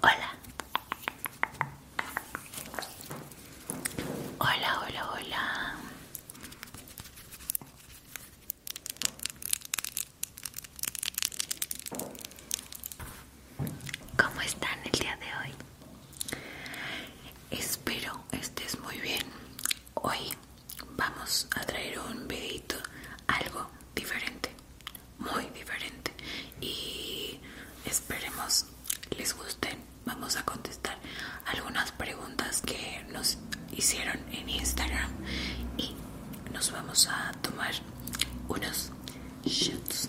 Hola. Hola, hola, hola. ¿Cómo están el día de hoy? Espero estés muy bien. Hoy vamos a traer un videito algo diferente, muy diferente. Y esperemos les gusten. Vamos a contestar algunas preguntas que nos hicieron en Instagram y nos vamos a tomar unos shots.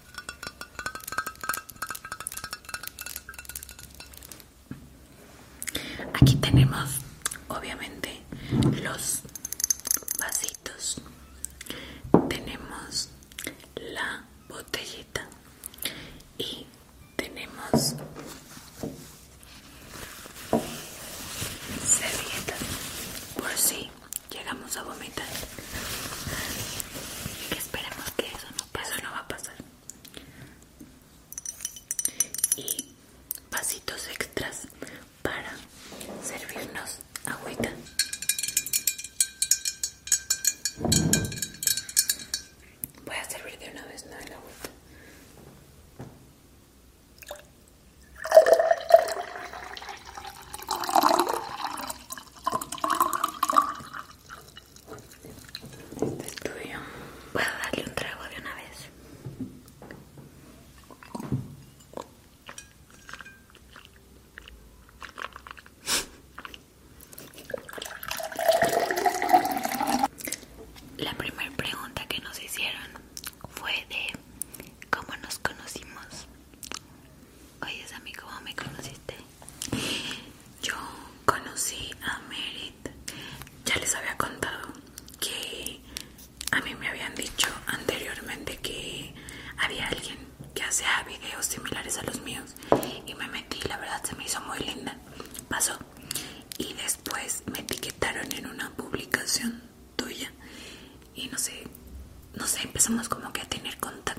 Aquí tenemos obviamente los vasitos. Tenemos la botellita y tenemos servilletas por si llegamos a vomitar. Esperemos que eso no pase. Eso no va a pasar. Y vasitos extras para servirnos agüita. Voy a servir de una vez no el agüita. Este es Puedo darle un trago de una vez. La primera pregunta que nos hicieron fue de cómo nos conocimos Oye, Sammy, ¿cómo me conociste? Yo conocí a Merit. Ya les había contado que a mí me habían dicho anteriormente que había alguien que hacía videos similares a los míos y me metí, la verdad se me hizo muy linda. Pasó. Y después me etiquetaron en una publicación tuya y no sé, no sé, empezamos como que a tener contacto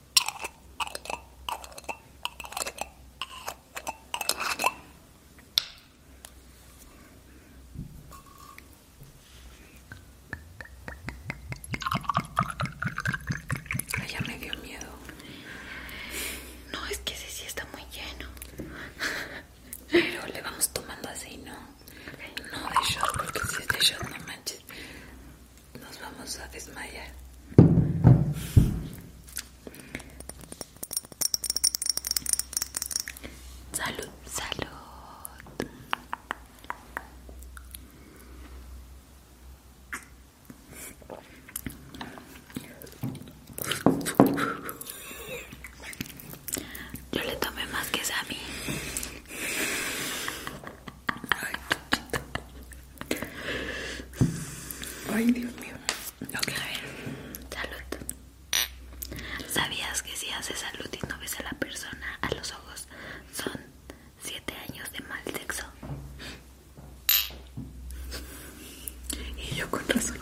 Ay, ya me dio miedo. No, es que ese sí está muy lleno. Pero le vamos tomando así, ¿no? No de shot, porque si es de shot, no manches nos vamos a desmayar. Salud, salud. Yo le tomé más que Sammy. Ay, Dios mío. Ok, a ver. Salud. ¿Sabías que si haces salud y no ves a la persona a los ojos, son 7 años de mal sexo? Y yo con razón.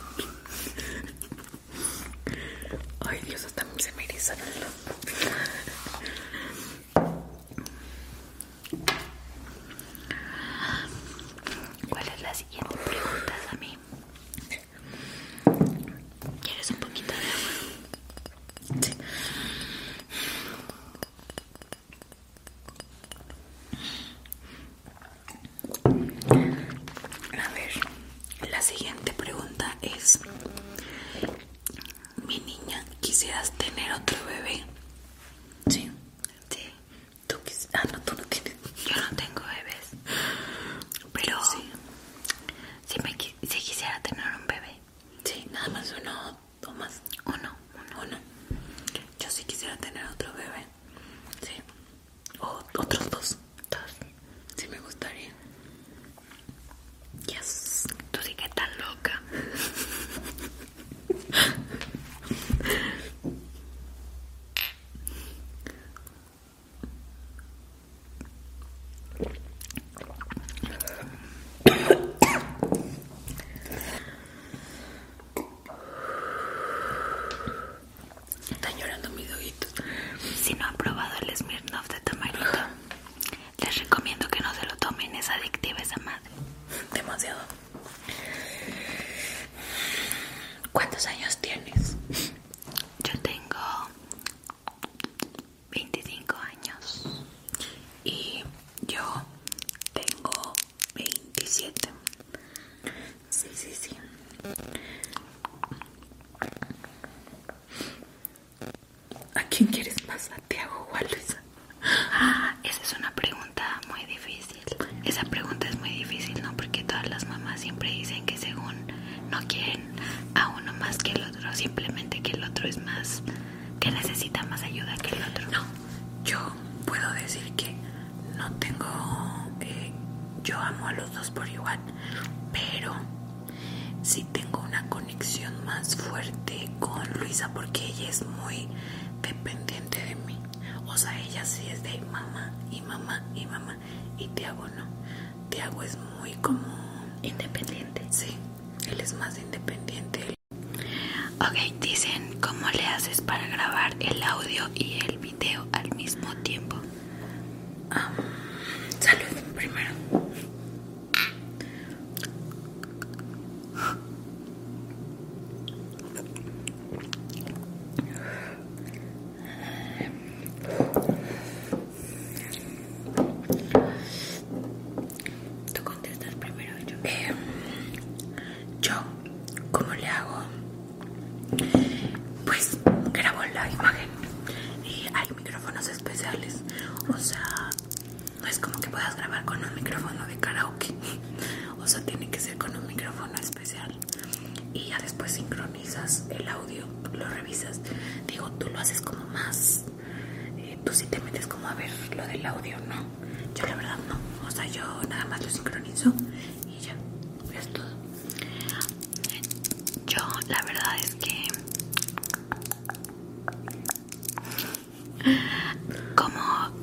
Ay, Dios, hasta se me ¿Cuál es la siguiente pregunta, Sammy? ¿Quieres un poquito de agua? A ver, la siguiente pregunta es: Mi niña, ¿quisieras tener otro bebé? Sí. Sí. Tú quis ah, no, tú no tienes. Yo no tengo bebés. Pero sí. si, me, si quisiera tener un bebé. Sí, nada más uno o más. Uno, uno, Yo sí quisiera tener otro bebé. Sí. O otros dos. Dos. Sí me gustaría. Yes. Tú sí que estás loca. Está llorando mis ojitos. Si no ha probado el Smirnoff de Tamarito, les recomiendo que no se lo tomen, es adictivo, esa más demasiado. ¿Cuántos años tienes? Yo tengo 25 años y yo tengo 27. Sí, sí, sí. ¿A quién quieres más? ¿A hago o a Ah, esa es una pregunta muy difícil. Esa pregunta es muy difícil, ¿no? Porque todas las mamás siempre dicen que según no quieren a uno más que el otro, simplemente que el otro es más, que necesita más ayuda que el otro. No, yo puedo decir que no tengo, eh, yo amo a los dos por igual, pero sí tengo una conexión más fuerte con Luisa porque ella es muy dependiente de mí. O sea, ella sí es de mamá y mamá y mamá. Y Tiago no. Tiago es muy como... Independiente. Sí, él es más independiente. Ok, dicen, ¿cómo le haces para grabar el audio y el video al mismo tiempo? salud primero. Tú contestas primero yo. como em, yo, ¿cómo le hago? Pues grabo la imagen y hay micrófonos especiales. O sea, no es como que puedas grabar con un micrófono de karaoke o sea tiene que ser con un micrófono especial y ya después sincronizas el audio lo revisas digo tú lo haces como más eh, tú sí te metes como a ver lo del audio no yo la verdad no o sea yo nada más lo sincronizo y ya es todo yo la verdad es que como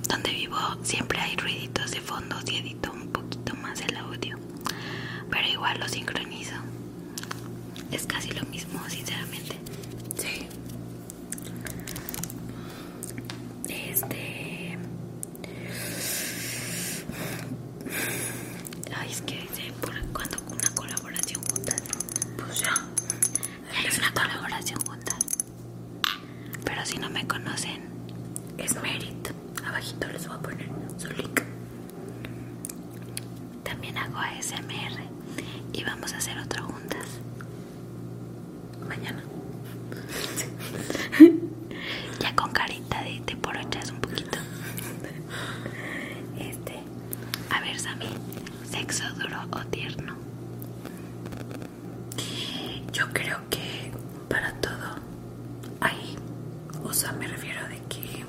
donde vivo siempre hay ruiditos de fondo y edito un poquito más el audio, pero igual lo sincronizo. Es casi lo mismo, sinceramente. Sí. Este. Ay, es que por cuando una colaboración juntas. Pues ya. Es una colaboración juntas. Pero si no me conocen, es Merit. Abajito les voy a poner su link. También hago ASMR y vamos a hacer otro juntas. Mañana. ya con carita de, por porochas un poquito. Este. A ver, Sammy. ¿Sexo duro o tierno? Yo creo que para todo hay, o sea, me refiero de que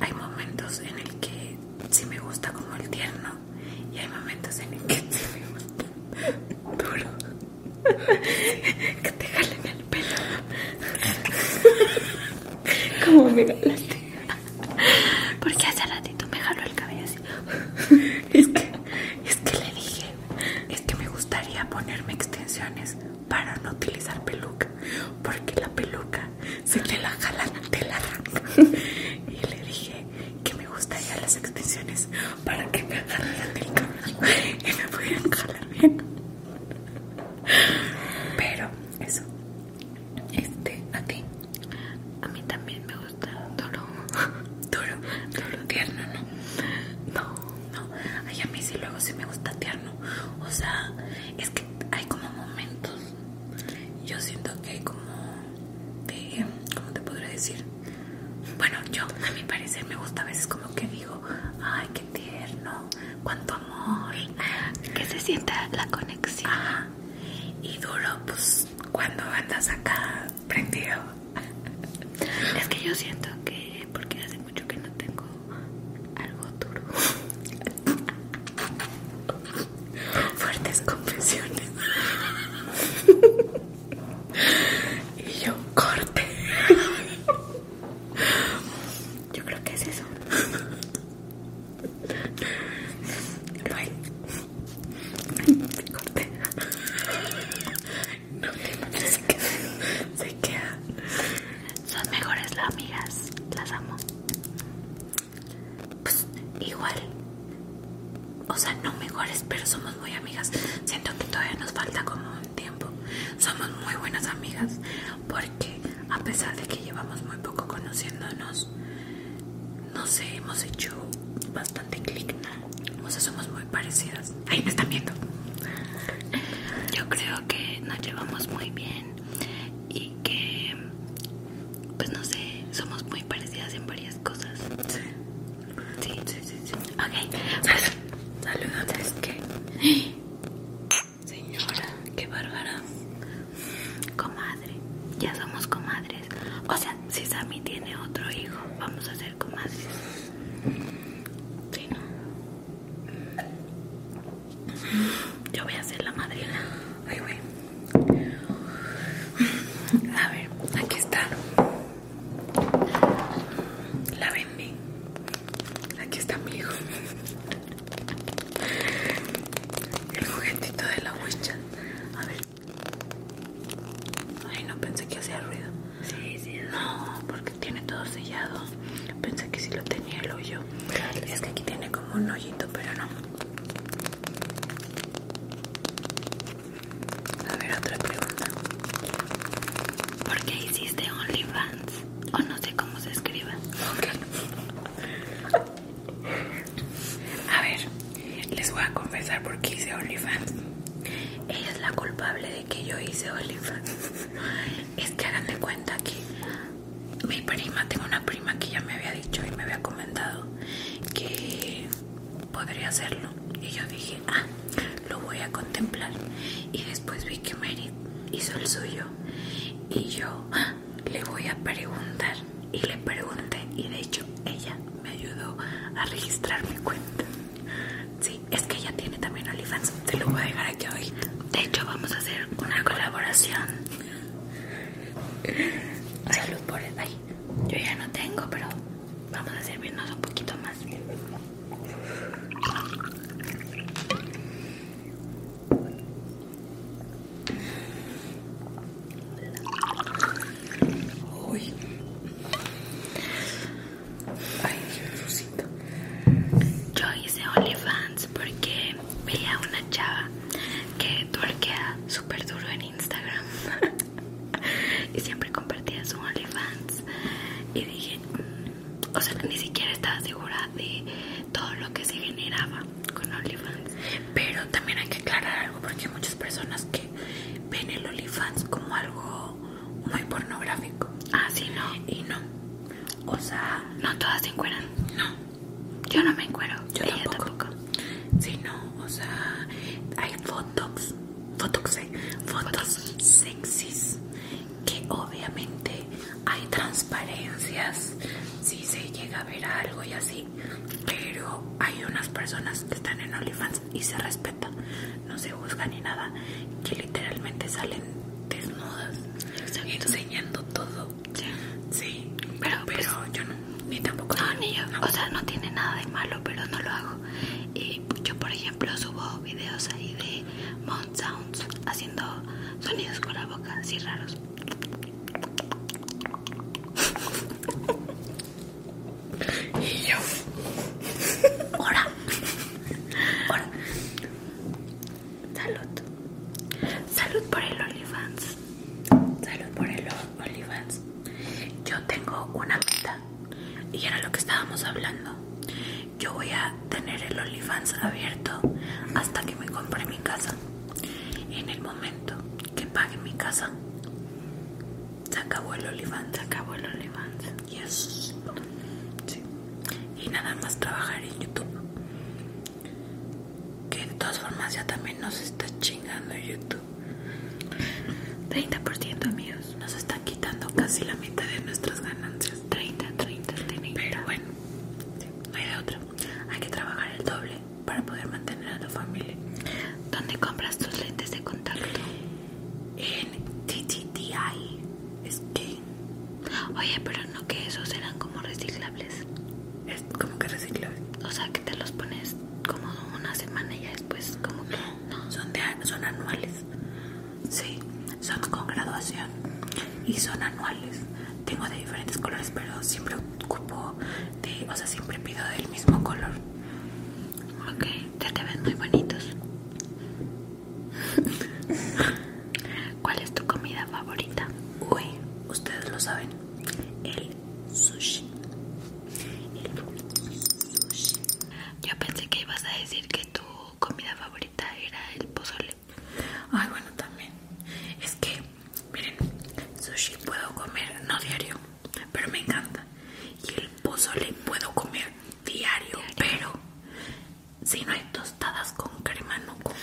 hay momentos en el que sí me gusta como el tierno y hay momentos en el que sí me gusta duro. que te jalen el pelo. como me Porque hace ratito me jaló el cabello así. Es que, es que le dije, es que me gustaría ponerme extensiones para no utilizar peluca. Porque la peluca se te la jalan, la Y le dije que me gustaría las extensiones para que me agarren el cabello y me pudieran jalar bien. Pero eso, este, a ti, a mí también me gusta duro, duro, duro, tierno, ¿no? No, no, Ay, a mí sí luego sí me gusta tierno. O sea, es que hay como momentos. Yo siento que hay como... De, ¿Cómo te podría decir? Bueno, yo a mi parecer me gusta a veces como que digo, ay, qué tierno, cuánto amor. Que se sienta la conexión y duro pues cuando andas acá prendido es que yo siento que porque hace mucho que no tengo algo duro fuertes confesiones y yo corte yo creo que es eso lo corté. No se queda. Son mejores las amigas, las amo. Pues igual, o sea, no mejores, pero somos muy amigas. Siento que todavía nos falta como un tiempo. Somos muy buenas amigas porque a pesar de que llevamos muy poco conociéndonos, no sé, hemos hecho bastante clic, ¿no? O somos muy parecidas. Ahí me están viendo. Yo creo que nos llevamos muy bien y que, pues no sé, somos muy parecidas en varias cosas. Sí. Sí, sí, sí. Ok. Saludos. ¡Ah! Señora, qué bárbara. Comadre. Ya somos comadres. O sea, si Sammy tiene otro hijo, vamos a ser comadres. si no. Yo voy a ser la madrina. Ay, wey A ver, aquí está. La vendí. Aquí está mi hijo. El juguetito de la huicha. A ver, Ay, no pensé que hacía ruido. Sí, sí. No, porque tiene todo sellado. Pensé que sí lo tenía el hoyo. Es que aquí tiene como un hoyito, pero no. A ver, otra pregunta. ¿Por qué hiciste OnlyFans? O no sé cómo se escribe. A ver, les voy a confesar por qué hice OnlyFans. Ella es la culpable de que yo hice OnlyFans. Es que hagan de cuenta que mi prima, tengo una prima que ya me había dicho y me había comentado que podría hacerlo. Y yo dije, ah, lo voy a contemplar. Y después vi que Mary hizo el suyo. Y yo ah, le voy a preguntar y le pregunté y de hecho ella me ayudó a registrar mi cuenta. Sí, es que ella tiene también OnlyFans, te lo voy a dejar aquí hoy. De hecho vamos a hacer una colaboración. Salud por el Yo ya no tengo, pero vamos a servirnos un poquito más. Ay, Yo hice OnlyFans porque veía una chava que torquea súper duro en Instagram y siempre compartía su OnlyFans y dije, mm, o sea, ni siquiera estaba segura de todo lo que se generaba con OnlyFans pero también hay que aclarar algo porque hay muchas personas que ven el OnlyFans como algo muy pornográfico. Ah, sí, no. Y no. O sea, no todas se encueran. No. Yo no me encuero. Yo tampoco. Sí, no. O sea, hay fotos, ¿eh? fotos, fotos sexys que obviamente hay transparencias si se llega a ver algo y así pero hay unas personas que están en OnlyFans y se respeta no se busca ni nada que literalmente salen desnudas enseñando todo sí, pues, pero, yo no ni tampoco no, ni yo o sea no tiene nada de malo pero no lo hago y yo por ejemplo subo videos ahí de mount sounds haciendo sonidos con la boca así raros y yo. ahora Salud. Salud por el OnlyFans. Salud por el OnlyFans. Yo tengo una meta. Y era lo que estábamos hablando. Yo voy a tener el OnlyFans abierto hasta que me compre mi casa. En el momento que pague mi casa, se acabó el Se acabó el Sí. Y nada más trabajar en YouTube. Que de todas formas ya también nos está chingando YouTube. 30% amigos. Nos están quitando casi la mitad de nuestras ganancias. 30, 30, 30. Pero bueno, no hay de otra. Hay que trabajar el doble para poder mantener a tu familia. ¿Dónde compras tus lentes de contacto? En TTTI que Oye, pero no que esos eran como reciclables. Es como que reciclables. O sea, que te los pones como una semana y ya después como que no. Son de, son anuales. Sí, son con graduación y son anuales. Tengo de diferentes colores, pero siempre ocupo de, o sea, siempre pido del mismo color. Ok, ya te ven muy bonitos. ¿Cuál es tu comida favorita? Uy, ustedes lo saben. El sushi. El sushi. Yo pensé que ibas a decir que tu comida favorita era el pozole. Ay, bueno, también. Es que, miren, sushi puedo comer no diario, pero me encanta. Y el pozo le puedo comer diario, pero si no hay tostadas con crema, no como.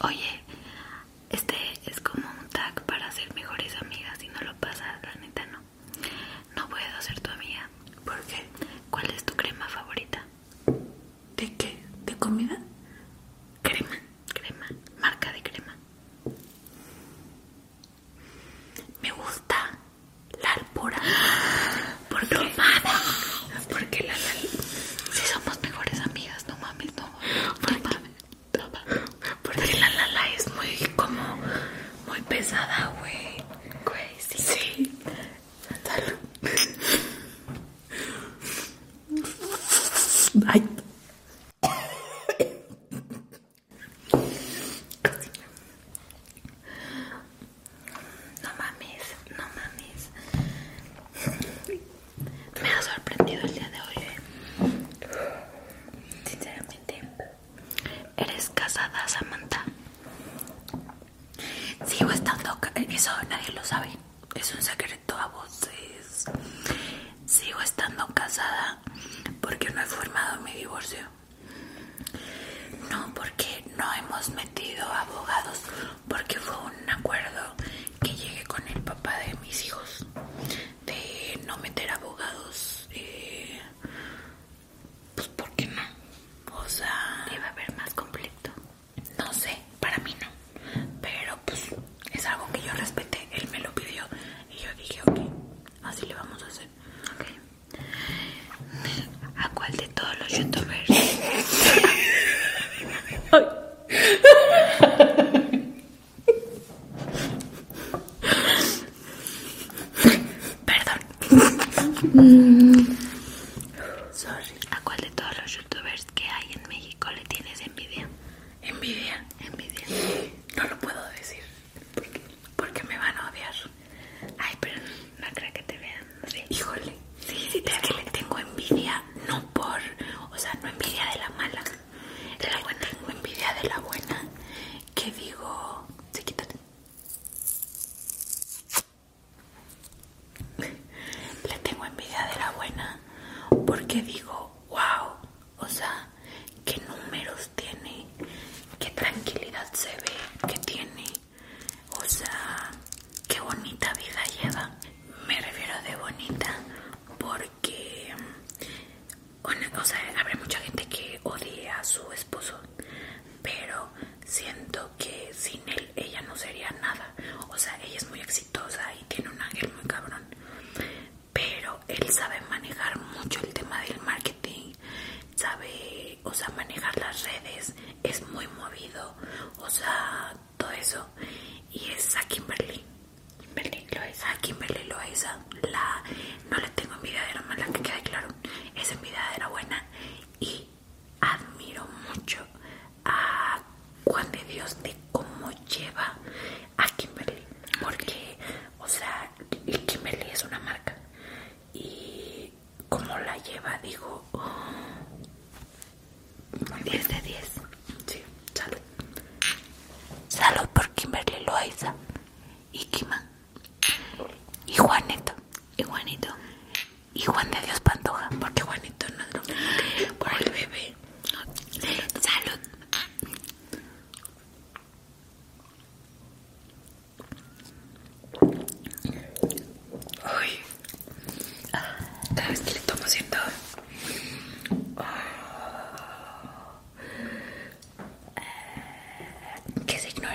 Oye, este es como un tag para ser mejores amigas. Si no lo pasa, la neta no. No puedo ser tu amiga. porque ¿Cuál es tu crema favorita? ¿De qué? ¿De comida? Crema crema, marca de crema. Me gusta la Alpora porque no mames, porque la, la si somos mejores amigas, no mames, no porque, la lala es muy como muy pesada, güey. Güey, sí. sí. Ay. No mames, no mames. Me ha sorprendido el día de hoy. ¿eh? Sinceramente, ¿eres casada, Samantha? Sigo estando. Eh, eso nadie lo sabe. Es un secreto a voces. Sigo estando casada porque no he formado mi divorcio. No, porque no hemos metido abogados, porque fue un acuerdo que llegué con el papá de mis hijos de no meter abogados. Eh, pues, ¿por no? O sea, iba a haber más conflicto. No sé, para mí no. Pero pues, es algo que yo respeté, él me lo pidió y yo dije, ok, así le vamos a hacer. ¿A cuál de todos los youtubers? Perdón. Mm. Sorry. ¿A cuál de todos los youtubers que hay en México le tienes envidia? Envidia, envidia no lo puedo decir porque, me van a odiar. Ay, pero no, no que te vean. Híjole, sí, sí, te es que le tengo envidia, no por, o sea, no envidia de la mala, Tengo envidia de la buena que digo, sí, quítate. Le tengo envidia de la buena porque digo, wow, o sea, qué números tiene, qué tranquilidad se ve, que tiene. O sea, qué bonita vida lleva. Me refiero de bonita porque, o mm, sea, habrá mucha gente que odie a su esposo, pero siento que sin él ella no sería nada. O sea, ella es muy exitosa y tiene un ángel muy cabrón pero él sabe manejar mucho el tema del marketing, sabe, o manejar las redes, es muy movido, o sea, todo eso. Y es a Kimberly. Kimberly en Berlín no le tengo envidia de la mala, que quede claro. Es envidia de la buena. Y admiro mucho a Juan de Dios de cómo lleva a Kimberly porque o sea Kimberly es una marca y como la lleva digo 10 de 10 salud por Kimberly Loaiza y Kiman, y Juanito y Juanito y Juan de Dios Pantoja porque Juanito no es lo por el bebé salud Uy. que le ¿Qué signo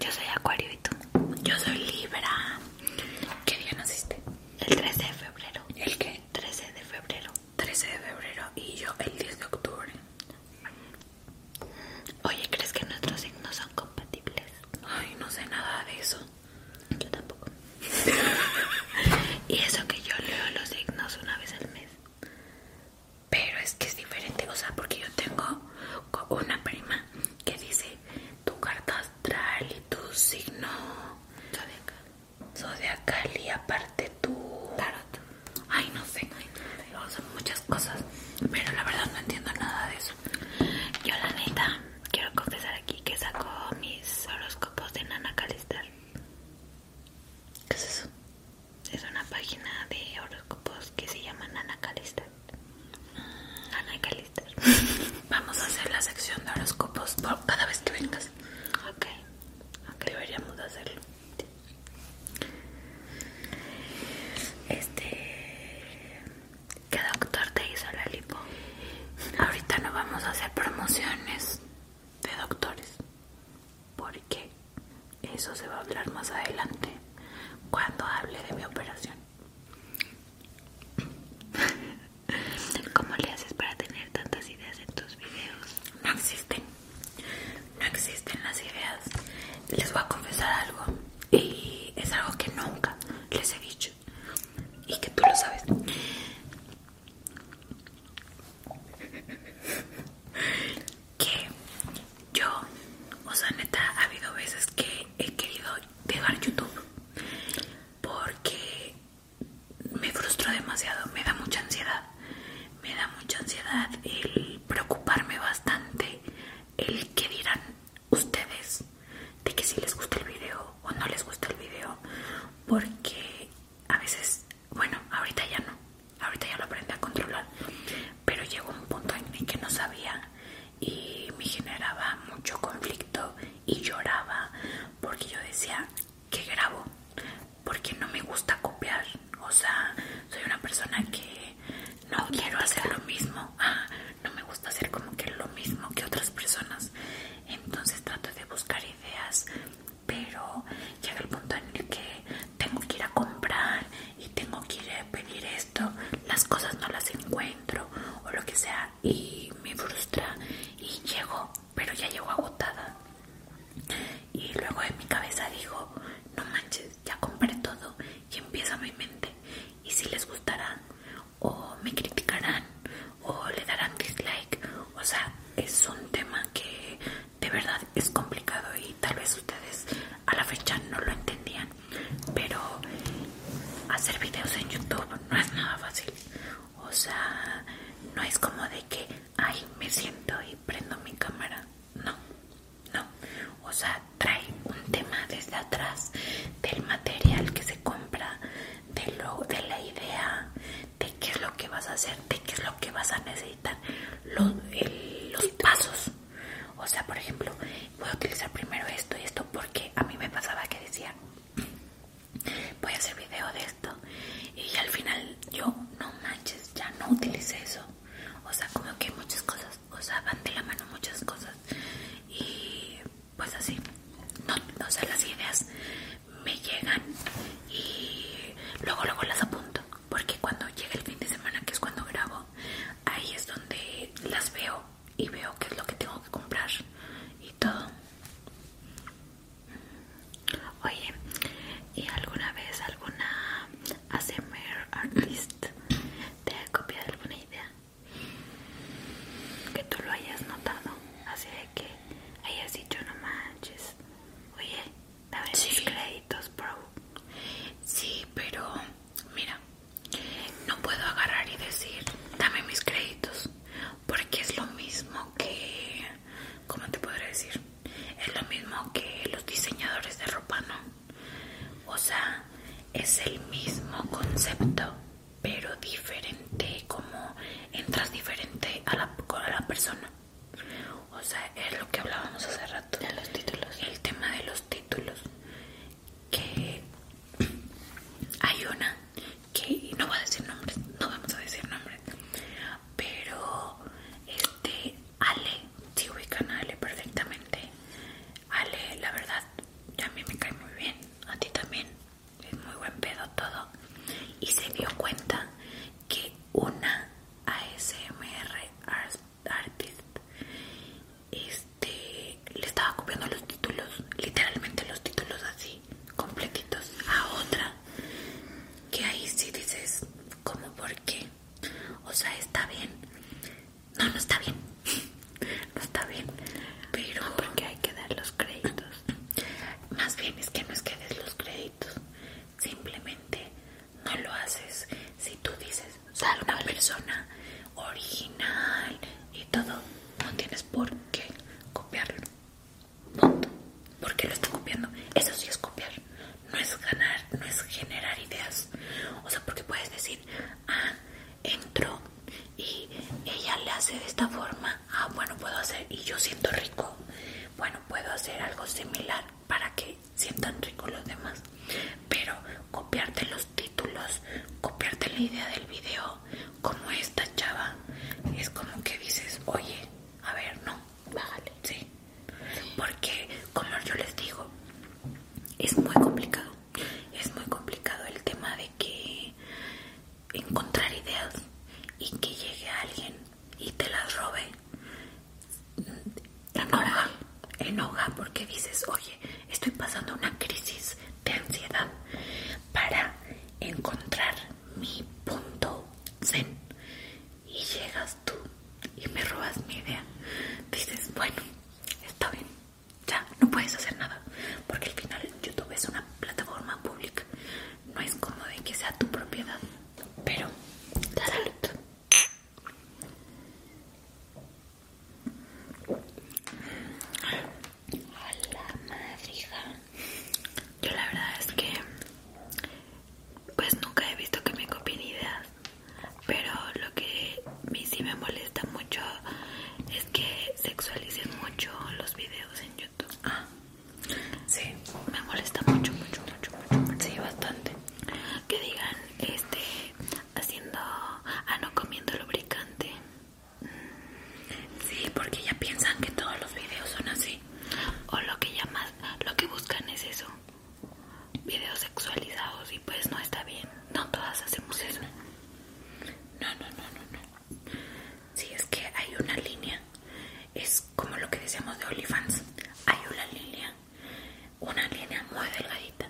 Yo soy Acuario y tú. Yo soy Libra. ¿Qué día naciste? El 13 de febrero. ¿El qué? 13 de febrero. 13 de febrero y yo el 10 de octubre. Oye, ¿crees que nuestros signos son compatibles? Ay, no sé nada de eso. Yo tampoco. y eso que yo leo los signos una vez al mes. Pero es que es diferente, o sea, porque yo tengo una prima que dice tu carta astral y tu signo acá y aparte tu tarot. Ay, no sé, son muchas cosas, pero la verdad no entiendo nada de eso. Yo, la neta, quiero confesar aquí que saco mis horóscopos de Nana Calister. ¿Qué es eso? Es una página de horóscopos que se llama Nana Calister. Nana Calister. Vamos a hacer la sección de horóscopos por cada vez que vengas. Ok aunque deberíamos de hacerlo este que doctor te hizo la lipo? ahorita no vamos a hacer promociones de doctores porque eso se va a hablar más adelante cuando hable de mi operación ¿Cómo le haces para tener tantas ideas en tus videos? No existen no existen las ideas. Les voy a confesar algo y es algo que nunca les he dicho y que tú lo sabes. Que yo, o sea, neta, ha habido veces que he querido dejar YouTube porque me frustra demasiado, me da mucha ansiedad, me da mucha ansiedad el preocuparme bastante, el que dirán ustedes de que si les gusta el video o no les gusta el video, porque a veces, bueno, ahorita ya no, ahorita ya lo aprendí a controlar, pero llegó un punto en el que no sabía y me generaba mucho conflicto y lloraba porque yo decía que grabo porque no me gusta copiar o sea soy una persona que no quiero hacer lo mismo no me gusta hacer como que lo mismo que otras personas entonces trato de buscar ideas pero llega el punto en el que tengo que ir a comprar y tengo que ir a pedir esto las cosas no las encuentro o lo que sea y me frustra y llego pero ya llegó agotada. Y luego en mi cabeza dijo, no manches, ya compré todo y empieza mi mente. Y si les gustará, o me criticarán, o le darán dislike. O sea, es un tema que de verdad es complicado y tal vez ustedes a la fecha no lo entendían. Pero hacer videos en YouTube no es nada fácil. O sea, no es como de que ay, me siento y prendo mi cámara. No, no. O sea, trae un tema desde atrás del material que se compra, de, lo, de la idea, de qué es lo que vas a hacer, de qué es lo que vas a necesitar, los, los pasos. O sea, por ejemplo, voy a utilizar primero esto y esto porque a mí me pasaba que decía, voy a hacer video de esto y al final yo no manches ya no utilice eso o sea como que muchas cosas o sea van de la mano muchas cosas y pues así no o sea las ideas me llegan y luego luego las apunto porque cuando llega el fin de semana que es cuando grabo ahí es donde las veo y veo qué es lo que tengo que comprar y todo Oye, ¿y alguna vez alguna ASMR artist te ha copiado alguna idea? Que tú lo hayas notado, así de que hayas dicho no manches. Oye, dame mis créditos, bro. Sí, pero mira, no puedo agarrar y decir dame mis créditos, porque es lo mismo que ¿Cómo te podré decir? Es lo mismo que los diseñadores de ropa, ¿no? O sea, es el mismo concepto, pero diferente, como entras diferente a la, la persona. O sea, es lo que hablábamos hace rato. De los títulos. El tema de los títulos. Que hay una que, no voy a decir nombres, no vamos a decir nombres pero este Ale, si ubican a Ale perfectamente. Ale, la verdad, a mí me cae muy bien, a ti también, es muy buen pedo todo. Y se dio cuenta que una ASMR artist este, le estaba copiando los títulos, literalmente los títulos así, completitos, a otra que ahí sí dices, ¿cómo por qué? O sea, está bien. No, no está bien. No está bien. Pero porque hay que dar los créditos. Más bien es que no es que des los créditos. Simplemente no lo haces. Si tú dices, sal una persona original y todo, no tienes por qué copiarlo. Punto. Porque lo está copiando. Eso sí es copiar. No es ganar, no es generar ideas. O sea, porque puedes decir, ah, entro y ella le hace de esta forma. Ah, bueno, puedo hacer. Y yo siento rico. Bueno, puedo hacer algo similar para que sientan rico los demás. Pero copiarte los títulos, copiarte la idea del video, como esta chava, es como que dices, oye, a ver, no bájale. Sí. Porque, como yo les digo, es muy complicado. Es muy complicado el tema de que encontrar ideas y que llegue alguien y te las robe. Enoja, porque dices, oye, estoy pasando una crisis de ansiedad para encontrar mi punto zen y llegas tú y me robas mi idea, dices, bueno, está bien, ya no puedes hacer nada, porque al final YouTube es una plataforma pública, no es como de que sea tu propiedad, pero salud. la yo la verdad es que pues nunca he visto que me copien ideas, pero lo que a mí sí me molesta mucho es que sexualicen mucho los videos en YouTube. Ah, sí, me molesta mucho, mucho, mucho, mucho, Sí, bastante. Que digan, este, haciendo, ah, no comiendo lubricante. Sí, porque ya piensan que todos los videos son así o lo que llamas lo que buscan es eso videos sexualizados y pues no está bien no todas hacemos eso no no no no no si es que hay una línea es como lo que decíamos de OnlyFans hay una línea una línea muy delgadita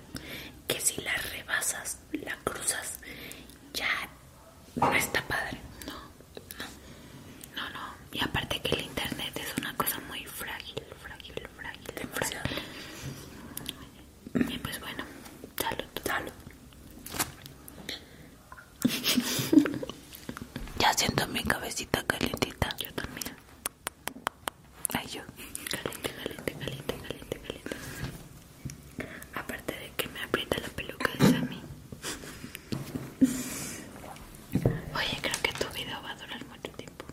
que si la rebasas la cruzas ya no está padre no no, no, Y aparte que el internet es una cosa muy frágil, frágil, frágil, frágil. pues bueno, salud. Salud. ya siento mi cabecita calientita. Yo también. Ay, yo. Caliente, caliente, caliente, caliente, caliente. Aparte de que me aprieta la peluca, es a mí. Oye, creo que tu video va a durar mucho tiempo.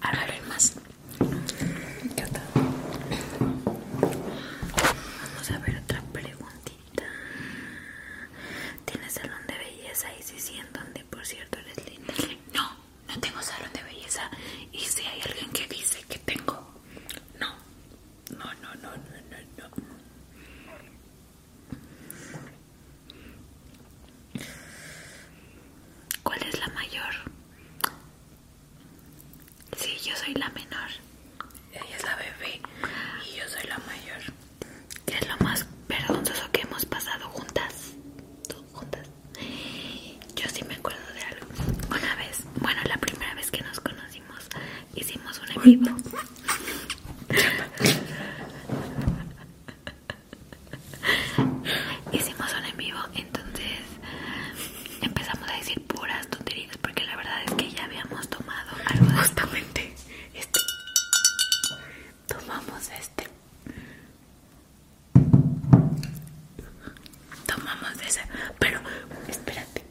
Ahora ver más. Vamos a ver otra preguntita. ¿Tienes salón de belleza? Y si sí, en donde, por cierto, eres No, no tengo salón de belleza. Y si hay alguien que dice que tengo, no, no, no, no, no, no, no. ¿Cuál es la mayor? Sí, yo soy la menor. Ella es la bebé y yo soy la mayor. ¿Qué es lo más vergonzoso que hemos pasado juntas? ¿Tú juntas? Yo sí me acuerdo de algo. Una vez, bueno, la primera vez que nos conocimos, hicimos un en vivo. hicimos un en vivo, entonces empezamos a decir puras tonterías porque la verdad es que ya habíamos tomado algo justamente este. Tomamos este. Tomamos ese pero espérate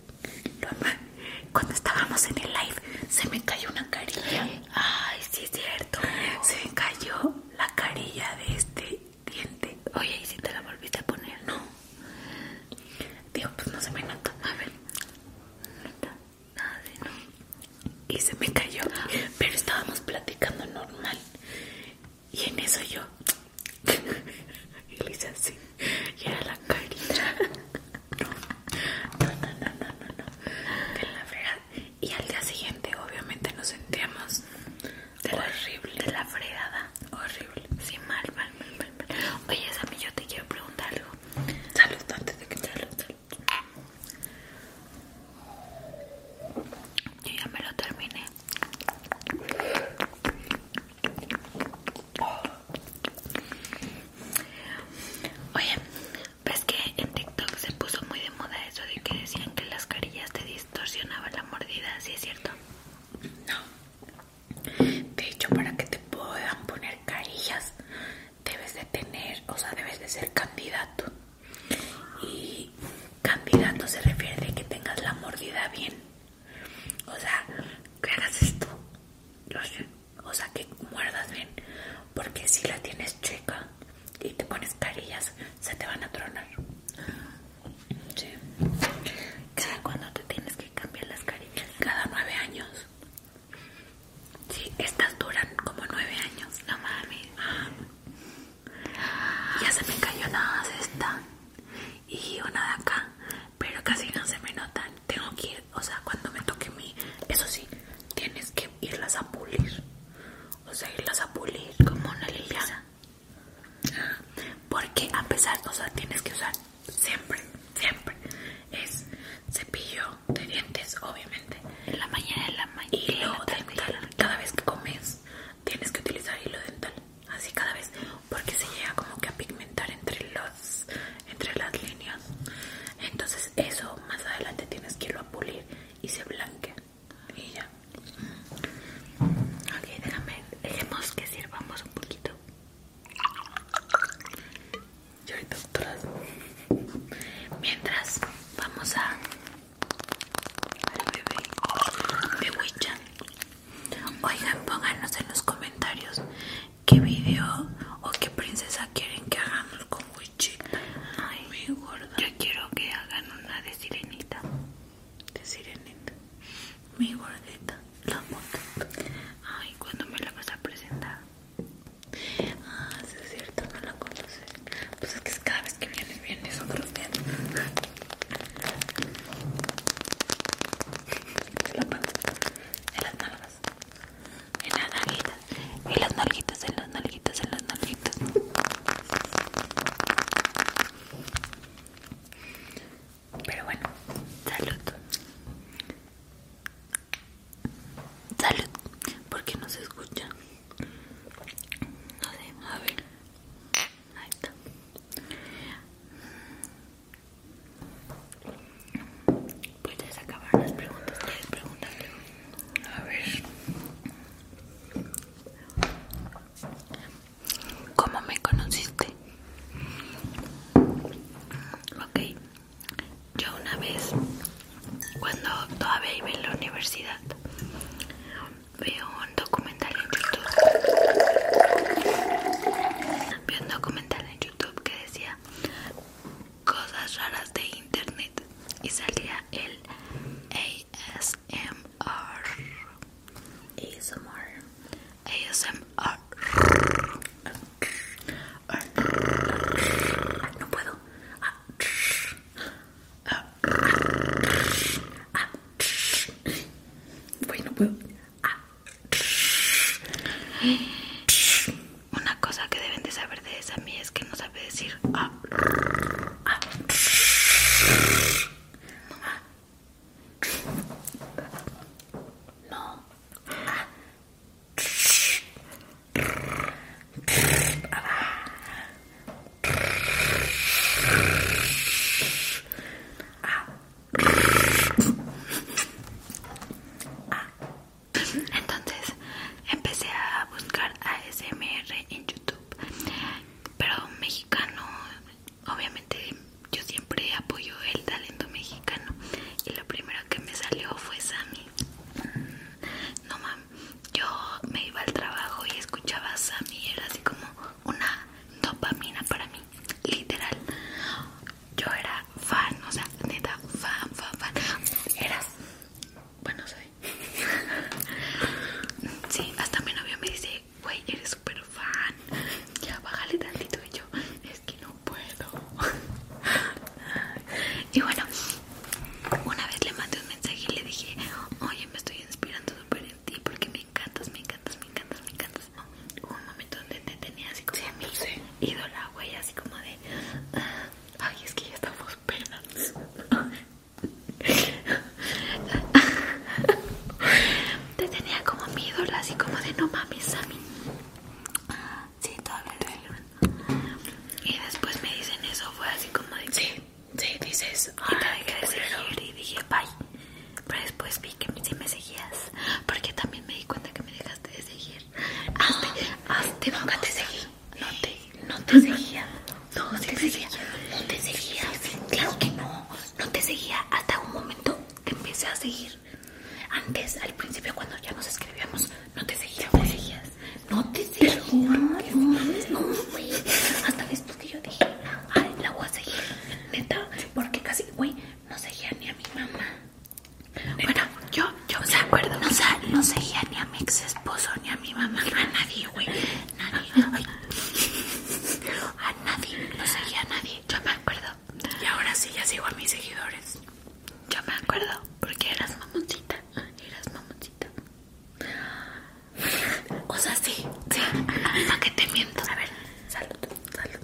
cuando estábamos en el live se me cayó una carilla. Ay, sí es cierto. Se me cayó la carilla de este diente. Oye, ¿y si te la volviste a poner? No. Digo, pues no se me nota. A ver. Nota. Nada de no. Y se me cayó. Pero estábamos platicando normal. Y en eso yo y le y era la carita no, no, no, no, no, no la fregada y al día siguiente obviamente nos sentíamos horrible de la fregada horrible, Sin mal, mal, mal, mal, oye Sami yo te quiero preguntar algo salud antes de que salud, salud yo ya me lo terminé Oye, ves que en TikTok se puso muy de moda eso de que decían que las carillas te distorsionaba la mordida, ¿sí es cierto? No. De hecho, para que te puedan poner carillas, debes de tener, o sea, debes de ser candidato. Y candidato se refiere a que tengas la mordida bien. O sea, ¿qué hagas esto. sé. O sea, que muerdas bien. Porque si la tienes chica y te pones carillas, se te van a tronar. Sí. Cada cuando te tienes que cambiar las carillas. Cada nueve años. Sí, estas duran como nueve años. No mames. Ya se me cayó nada más esta y una de acá, pero casi no se me notan. Tengo que ir, o sea, cuando me toque mí, eso sí, tienes que irlas a pulir, o sea, irlas a pulir como una liliada porque a pesar, o sea, tienes que usar siempre, siempre es cepillo de dientes, obviamente, en la mañana, en la mañana, hilo dental. Cada vez que comes, tienes que utilizar hilo dental. Así cada vez, porque se llega como que a pigmentar entre los entre las líneas entonces eso más adelante tienes que irlo a pulir y se blanquea y ya ok déjame dejemos que sirvamos un poquito mientras vamos a al bebé Oigan, pónganos en los comentarios qué video o qué princesa quieren que hagamos con Wichita Ay, mi gorda. Yo quiero que hagan una de sirenita. De sirenita. Mi gordita. La moto. Ay, ¿cuándo me la vas a presentar? Ah, sí es cierto, no la conoces. Pues es que cada vez que vienes, vienes otro día en las manos, en las nalgas, en las narguitas en las narguitas en las nalguitas, en las Pero bueno, salud. Salud, porque no se escucha. a ver. Ahí está. Puedes acabar las preguntas, les preguntan. A ver. ¿Cómo me conociste? Ok. Yo una vez, cuando todavía iba en la universidad, veo un documental en YouTube. Veo un documental en Youtube YouTube que decía cosas raras de internet y salía el ASMR ASMR ASMR ah, no puedo bueno, ah, ah, puedo Ah. Una cosa que deben de saber de esa mía es que no sabe decir ah. ah. ah. Ah. Entonces empecé a buscar ASMR en YouTube, pero mexicano, obviamente yo siempre apoyo el talento mexicano y lo primero que me salió fue Sammy. Mm, no mames, yo me iba al trabajo y escuchaba a Sammy, era así como una dopamina para mí, literal yo era fan, o sea, neta, fan, fan, fan. Eras, bueno, soy. sí, hasta mi novio me dice, güey, eres súper fan. Ya, bájale tantito. Y yo, es que no puedo. y bueno, una vez le mandé un mensaje y le dije, oye, me estoy inspirando súper en ti porque me encantas, me encantas, me encantas, me encantas. Pues, hubo un momento donde te tenía así como mi ídola, güey, así como de ah, ay, es que ya estamos penas. te tenía como mi ídola, así como de no mames, Sammy. Sí, todavía Y después me dicen eso, fue así como de sí, sí, dices. Y te dejé de seguir y dije bye. Pero después vi que sí me seguías, porque también me di cuenta que me dejaste de seguir. Hasta no, te seguí. No te, no te seguía. No, te, seguía. No te seguía. Sí, claro que no. No te seguía hasta un momento que empecé a seguir. Antes, al principio, cuando ya nos escribíamos, no te seguía. No te seguías. No te seguía. Hasta después que yo dije, la voy a seguir. Neta, porque casi, güey, no seguía ni a mi mamá. Bueno, yo, yo me acuerdo. No, seguía ni a mi ex esposo, ni a mi mamá, a nadie, güey. A nadie, no seguía a nadie. Yo me acuerdo. Y ahora sí, ya sigo a mis seguidores. Yo me acuerdo, porque eras mamoncita. Eras mamoncita. O sea, sí, sí. Para que te miento. A ver, salud, salud.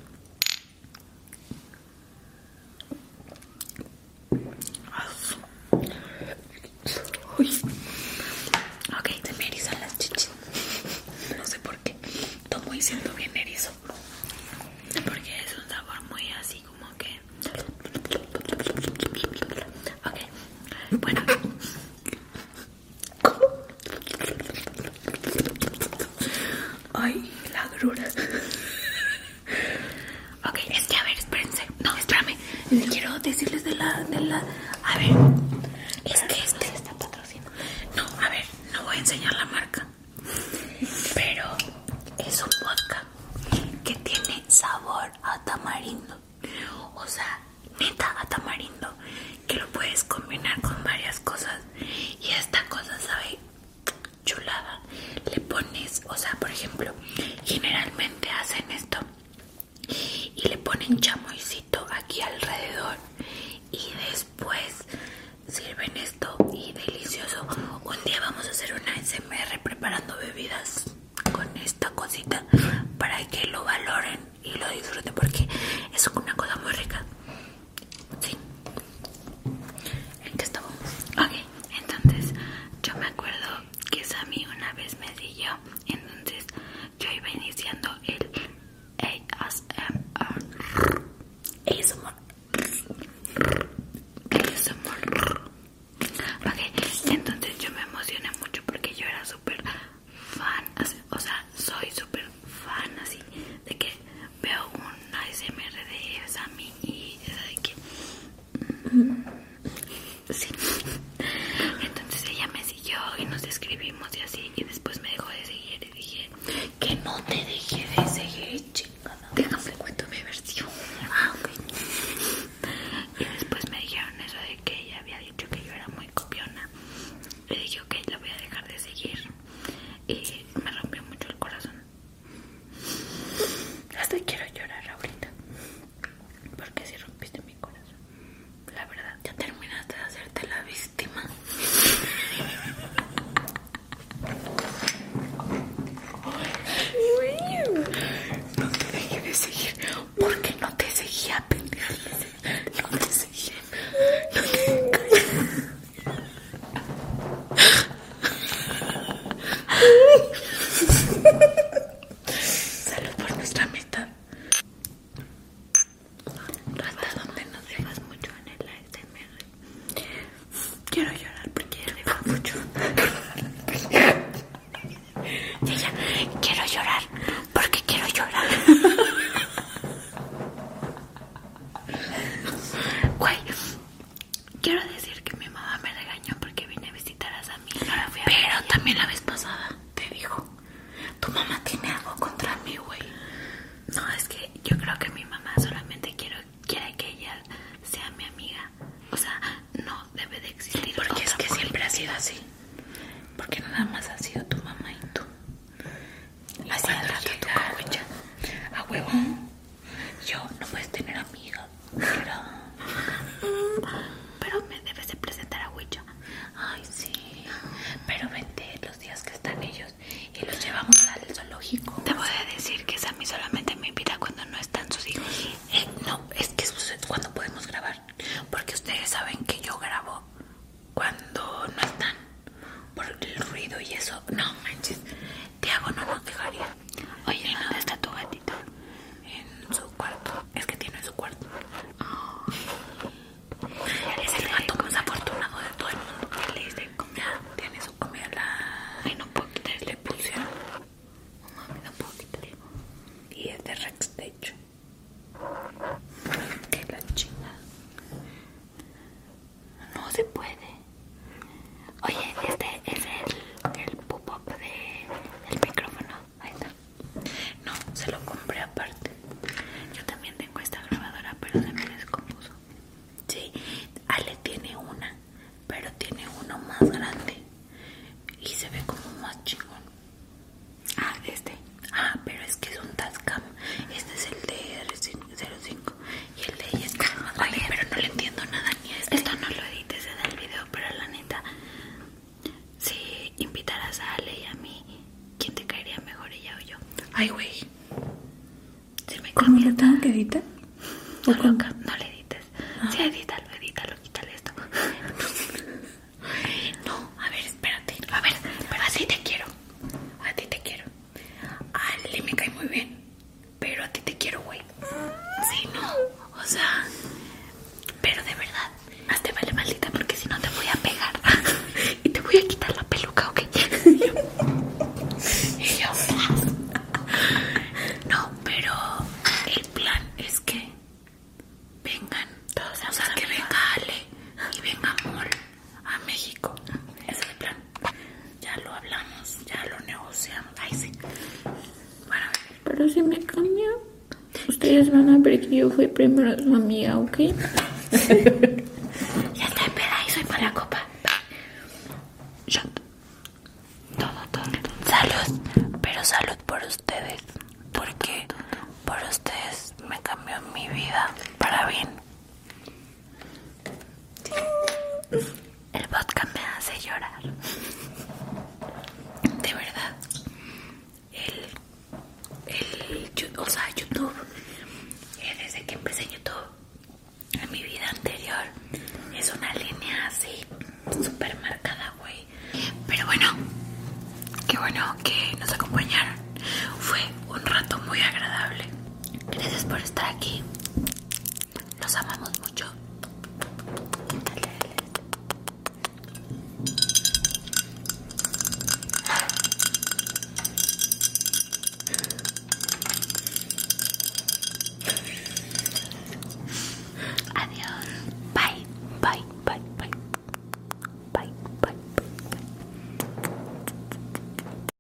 Ok, se me erizan las chichis. No sé por qué. todo muy siento bien erizo. Porque es un sabor muy así como que. Ok. Bueno. Ay, la ok, es que a ver, espérense. No, espérame. Quiero decirles de la, A ver. Es que este está patrocinando. No, a ver, no voy a enseñar la marca. Pero es un vodka que tiene sabor a tamarindo. O sea, neta a tamarindo. Que lo puedes combinar con varias cosas. Y esta cosa sabe chulada le pones o sea por ejemplo generalmente hacen esto y le ponen chamoycito aquí alrededor y después sirven esto y delicioso un día vamos a hacer una smr preparando bebidas con esta cosita para que lo valoren y lo disfruten porque es una cosa muy rica Sí. entonces yo me acuerdo que Sammy una vez me siguió, entonces yo iba iniciando el ASMR. ASMR. ASMR. Ok, entonces yo me emocioné mucho porque yo era súper fan, o sea, soy súper fan así de que veo un ASMR de Sammy y eso de que mm, sí entonces ella me siguió y nos escribimos y así y después me dejó de seguir y dije que no te dejé de seguir chingada déjame cuento mi versión ah, y después me dijeron eso de que ella había dicho que yo era muy copiona le dije ok la voy a dejar de seguir y eh, me rompió mucho el corazón. Hasta quiero llorar ahorita. Porque si rompiste mi corazón. La verdad, ya terminaste de hacerte la víctima. No te dejé de seguir. Porque no te seguía, No te seguía. No te Salud por nuestra amistad. Hasta donde nos dejas mucho en el ASMR. Quiero llorar porque ya le mucho. quiero llorar porque quiero llorar. Güey, quiero decir que mi mamá me regañó porque vine a visitar a Sammy. fui a Pero también la vez pasada te dijo, tu mamá tiene algo contra mí, güey. No, es que yo creo que mi mamá solamente quiere que ella sea mi amiga. O sea, no debe de existir. Porque es que siempre ha sido así. Porque nada más ha sido tu mamá y tú. Así señora rato A huevo. Yo no puedes tener amiga. Pero, me debes de presentar a Huicha. Ay, sí. Pero vente los días que están ellos y los llevamos al zoológico. Te voy a decir que Sammy solamente me invita cuando no están sus hijos. Eh, no, es que es cuando podemos grabar. Porque ustedes saben que yo grabo cuando no están por el ruido y eso. No manches, Tiago no nos dejaría. Oye, ¿dónde está tu gatito? En su cuarto. Es que tiene su cuarto. Es el gato más afortunado de todo el mundo. le comida? Tiene su comida la... Ay, no puedo Le pusieron. No no poquito Y es de Rex, de hecho. Que la chingada. No se puede. Oye, este es el, el pop-up del micrófono. Ahí está. No, se lo compré aparte. Yo también tengo esta grabadora, pero se me descompuso. Sí, Ale tiene una, pero tiene uno más grande. Y se ve como más chingón. Ah, este. Ah, pero es que es un Tascam. Este es el de 05 y el de ella está ah, pero no le entiendo nada ni a Esto no lo edites en el video, pero la neta, si invitaras a Ale y a mí, ¿quién te caería mejor, ella o yo? Ay, güey. ¿Cómo lo tengo que editar? No, loca, no le edites. Ah. Sí, edítalo, edítalo, quítale esto. no, a ver, espérate. A ver, pero así te quiero. A ti te quiero. Ale me cae muy bien. Pero a ti te quiero, güey. Sí, no. O sea, pero de verdad, más te vale maldita porque si no te voy a pegar y te voy a quitar la peluca, ¿ok? y no, pero el plan es que vengan, Todos o sea, que venga Ale y venga amor a México. Ese es el plan. Ya lo hablamos, ya lo negociamos. Ay, sí. Bueno, pero si me cambia, ustedes van a ver que yo fui primero su amiga, ¿ok? ya está en peda y soy mala copa. Todo, todo, todo. Salud. Pero salud por ustedes. Porque por ustedes me cambió mi vida para bien. El vodka me hace llorar. De verdad. El, el, o sea, YouTube. Eh, desde que empecé YouTube en mi vida anterior es una línea así super marcada, güey. Pero bueno, qué bueno que nos acompañaron. Fue un rato muy agradable. Gracias por estar aquí. Los amamos mucho. Adiós. Bye. Bye. Bye. Bye. Bye. Bye.